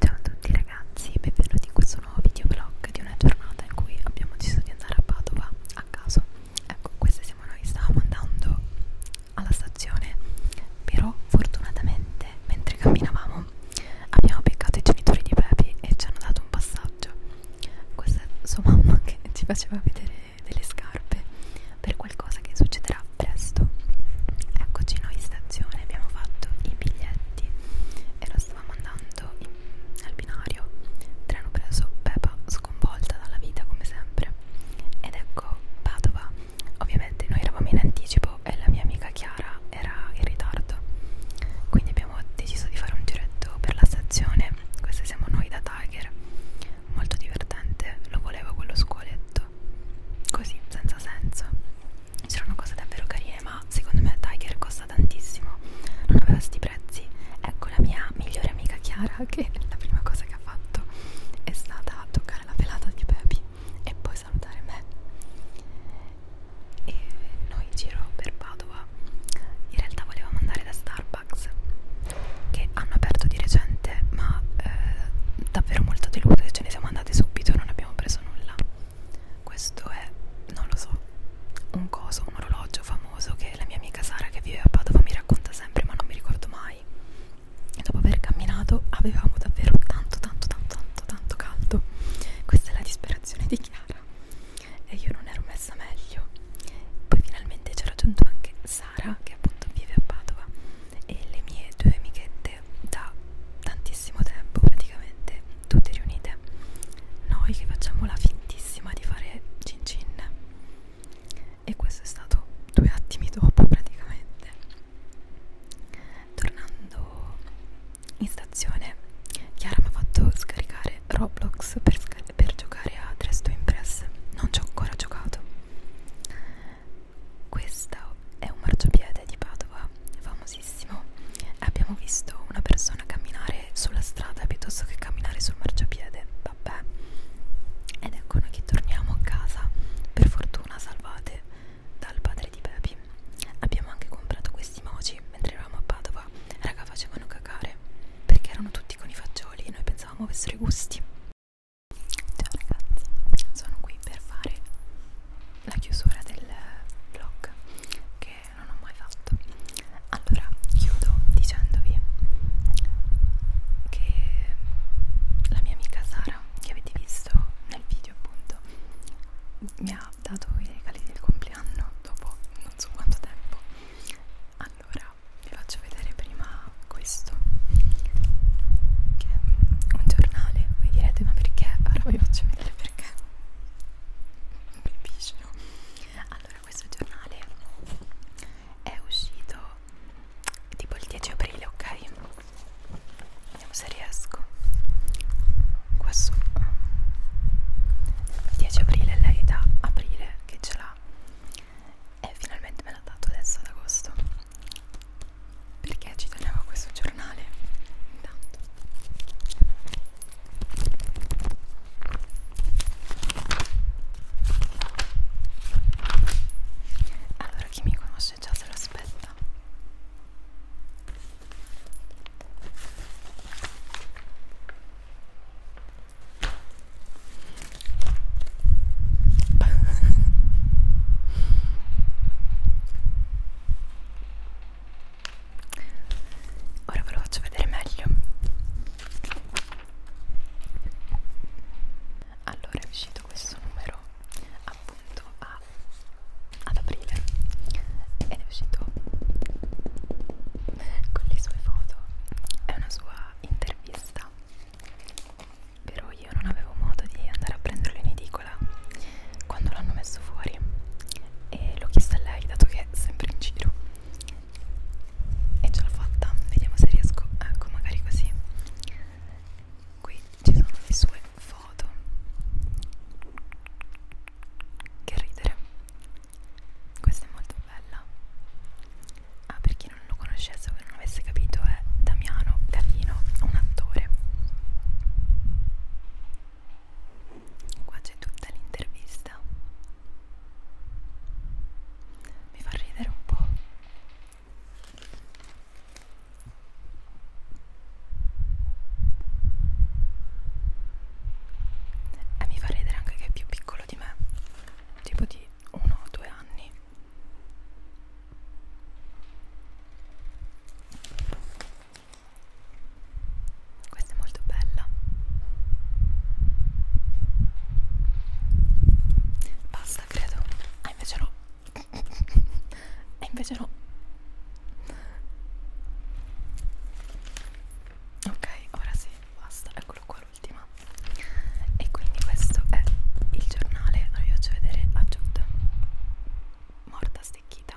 Ciao a tutti ragazzi e benvenuti in questo nuovo videoblog di una giornata in cui abbiamo deciso di andare a Padova a caso Ecco, queste siamo noi, stavamo andando alla stazione Però fortunatamente mentre camminavamo abbiamo beccato i genitori di Pepi e ci hanno dato un passaggio Questa è sua mamma che ci faceva vedere delle scarpe per qualcosa che succederà presto Eccoci noi, sta stazione abbiamo fatto i biglietti e lo stavamo andando in, al binario treno preso Pepa sconvolta dalla vita come sempre ed ecco Padova ovviamente noi eravamo in anticipo e la mia amica Chiara era in ritardo quindi abbiamo deciso di fare un giretto per la stazione questi siamo noi da Tiger molto divertente lo volevo quello scuoletto così senza senso c'erano cose davvero carine ma secondo me Tiger costa tantissimo non aveva sti prezzi ecco la mia migliore amica Chiara che la prima cosa che ha fatto è stata toccare la pelata di Pepi e poi salutare me e noi in giro per Padova in realtà volevamo andare da Starbucks che hanno aperto di recente ma eh, davvero molto deluse ce ne siamo andati andati subito non abbiamo preso nulla questo è non lo so un coso un orologio famoso che la mia amica Sara che vive a Padova mi racconta sempre ma non mi ricordo mai e dopo aver camminato avevamo davvero tanto tanto tanto tanto tanto caldo questa è la disperazione di Chiara e io non ero messa meglio poi finalmente ci ha raggiunto anche Sara che appunto vive a Padova e le mie due amichette riunite da tantissimo tempo praticamente tutte riunite noi che facciamo la fintissima di fare cin cin e questo è stato due attimi dopo praticamente tornando in stazione Chiara mi ha fatto scaricare Roblox per, per giocare a Dress to Impress non ci ho ancora giocato questo è un marciapiede di Padova, famosissimo. Abbiamo visto una persona camminare sulla strada piuttosto che camminare sul marciapiede, vabbè. Ed ecco noi che torniamo a casa, per fortuna salvate dal padre di Pepi. Abbiamo anche comprato questi moci mentre eravamo a Padova, raga facevano cacare perché erano tutti con i fagioli e noi pensavamo avessero i gusti Ciao ragazzi, sono qui per fare la chiusura del vlog che non ho mai fatto. Allora, chiudo dicendovi che la mia amica Sara, che avete visto nel video appunto, mi ha dato i regali del compleanno dopo non so quanto tempo. Allora, vi faccio vedere prima questo che è un giornale voi direte ma perché? ora vi faccio vedere perché non capisce no? allora questo giornale è uscito tipo il 10 aprile ok? vediamo se riesco qua su il 10 aprile lei da aprile che ce l'ha e finalmente me l'ha dato adesso ad agosto perché ci tenevo questo giornale intanto allora chi mi conosce già se lo aspetta Ora ve lo faccio vedere meglio. Allora è uscito questo numero appunto a, ad aprile ed è uscito con le sue foto. È una sua intervista però io non avevo modo di andare a prenderlo in edicola quando l'hanno messo fuori e l'ho chiesto a lei dato che è sempre in giro e ce l'ho fatta vediamo se riesco ecco magari così qui ci sono le sue foto che ridere questa è molto bella ah perché chi non lo conoscesse o che non avesse capito è Damiano Gavino, un attore. Qua c'è tutta l'intervista. Mi fa ridere un po'. E mi fa ridere anche che è più piccolo di me, tipo di uno o due anni. Questa è molto bella. Basta, credo. Ah, invece no. E invece no. Ok, ora sì, basta. Eccolo qua l'ultima e quindi questo è il giornale allora vi faccio vedere a Jude morta stecchita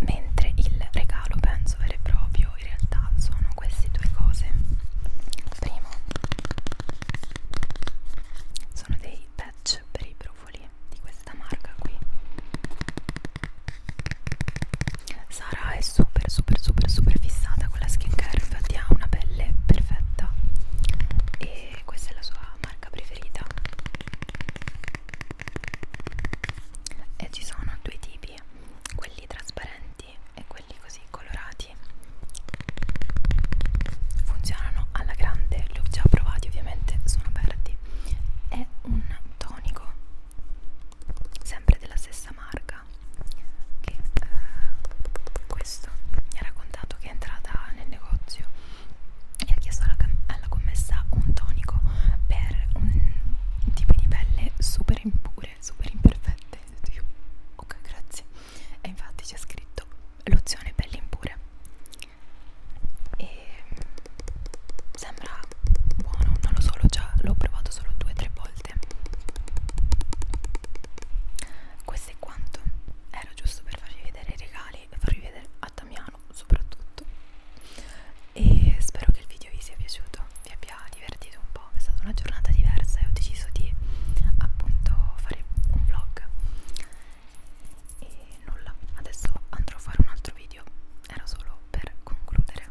mentre il regalo penso vero e proprio in realtà sono queste due cose primo sono dei patch per i brufoli di questa marca qui Sara è super super super super fissata con la skincare infatti ha una pelle perfetta e questa è la sua marca preferita e ci sono due tipi quelli trasparenti e quelli così colorati funzionano alla grande li ho già provati ovviamente sono aperti è un tonico sempre della stessa marca amica che eh, questo mi ha raccontato che è entrata nel negozio e ha chiesto alla, alla commessa un tonico per un tipo di pelle super impure, super imperfette io, ok grazie e infatti c'è scritto lozione pelle impure e sembra buono, non lo so, l'ho provato solo due o tre volte questo è quanto era giusto per farvi vedere i regali e farvi vedere a Damiano soprattutto e spero che il video vi sia piaciuto vi abbia divertito un po' è stata una giornata diversa e ho deciso di appunto fare un vlog e nulla adesso andrò a fare un altro video era solo per concludere